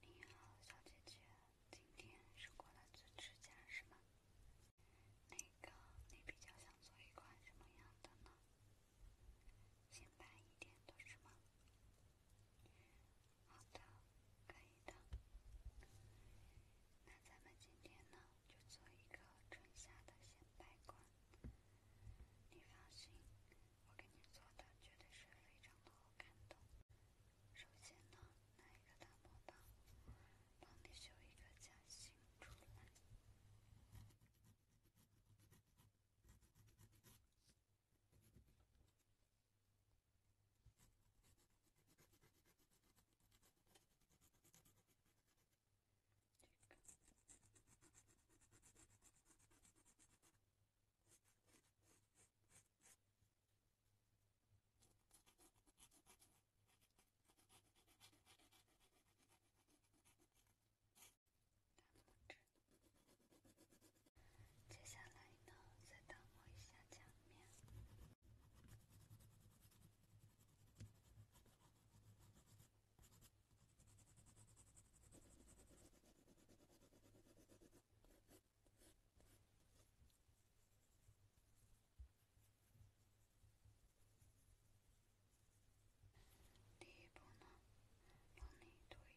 你好，小姐姐，今天是过来做指甲是吗？那个，你比较想做一款什么样的呢？显白一点的，是吗？好的，可以的。那咱们今天呢，就做一个春夏的显白款。你放心。我给你做的绝对是非常的好看的。首先呢，拿一个大毛棒，帮你修一个假型出来。大拇指，接下来呢，再打磨一下墙面。第一步你做一个手上。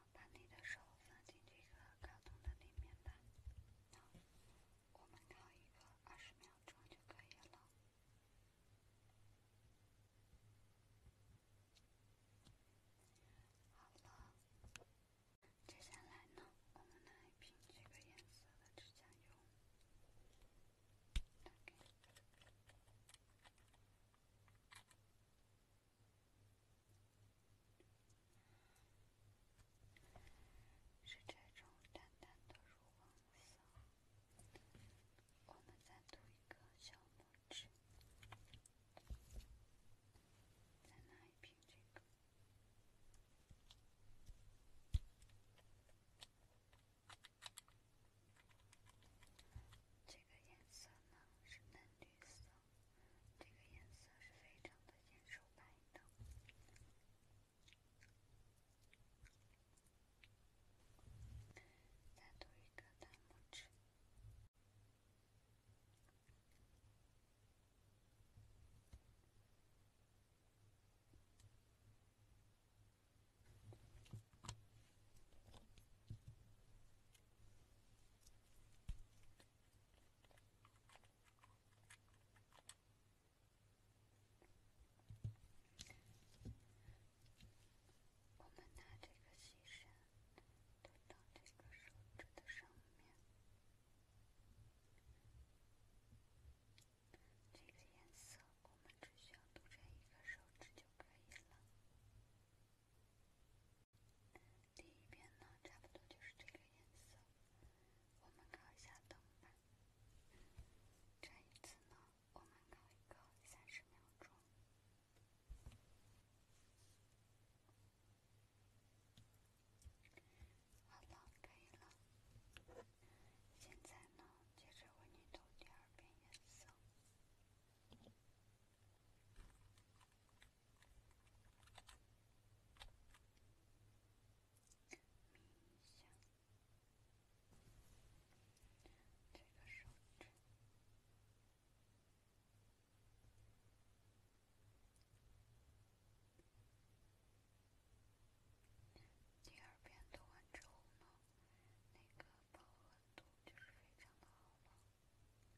把你的手放进这个卡通的里面吧，然后我们考一个二十秒钟就可以了。好了，接下来呢，我们来拼这个颜色的指甲油。是这种淡淡的乳黄色。我们再涂一个小拇指，再拿一瓶这个，这个颜色呢是嫩绿色。这个颜色是非常的显手白的，再涂一个大拇指。我们拿这个细绳，涂到这个手指的上面。这个颜色，我们只需要涂在一个手指就可以了。第一遍呢，差不多就是这个颜色。我们考一下灯吧。这一次呢，我们考一个三十秒钟。好了，可以了。现在呢，接着为你投第二遍颜色。这个手指。第二遍读完之后呢，那个饱和度就是非常的好了。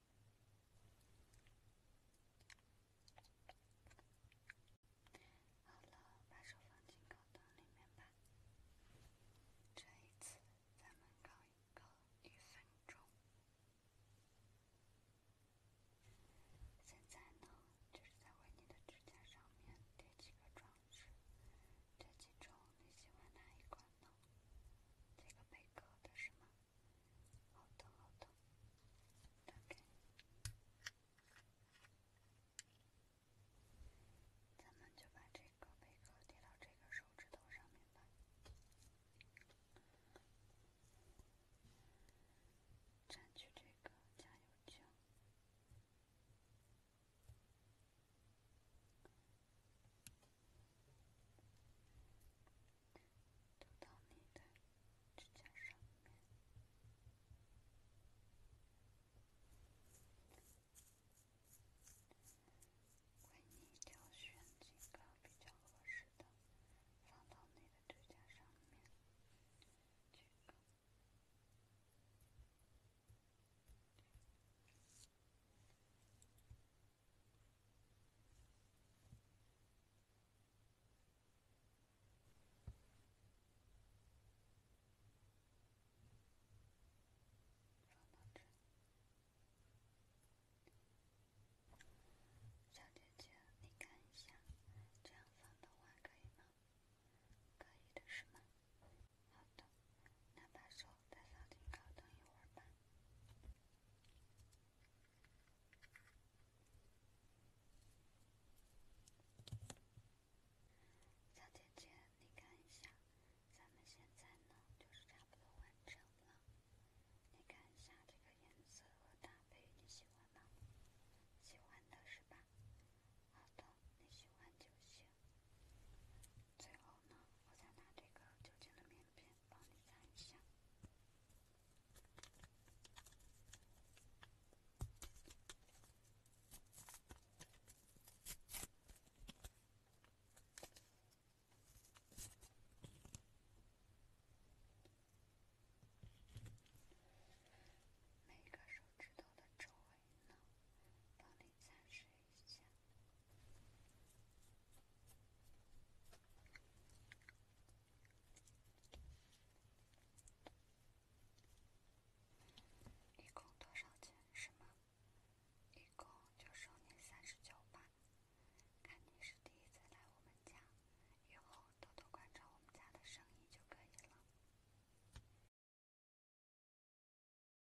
好了，把手放进烤灯里面吧。这一次咱们烤一个一分钟。现在呢，就是在为你的指甲上面贴几个装饰。这几种你喜欢哪一款呢？这个贝壳的是吗？好，的，好，的。咱们就把这个贝壳贴到这个手指头上面吧，蘸取这个酱油酱。涂到你的指甲上面，为你挑选一个比较合适的，放到你的指甲上面。夏姐姐，你看一下，这样放的话可以吗？可以的，是吗？好的，那把手。打扫挺好，等一会儿吧。小姐姐，你看一下，咱们现在呢，就是差不多完成了。你看一下这个颜色和搭配，你喜欢吗？喜欢的是吧？好的，你喜欢就行。最后呢，我再拿这个酒精的棉片帮你擦一下，每个手指头的周围呢，帮你擦拭一下。一共多少钱？是吗？一共就收你三十九吧。看你是第一次来我们家，以后多多关照我们家的生意就可以了。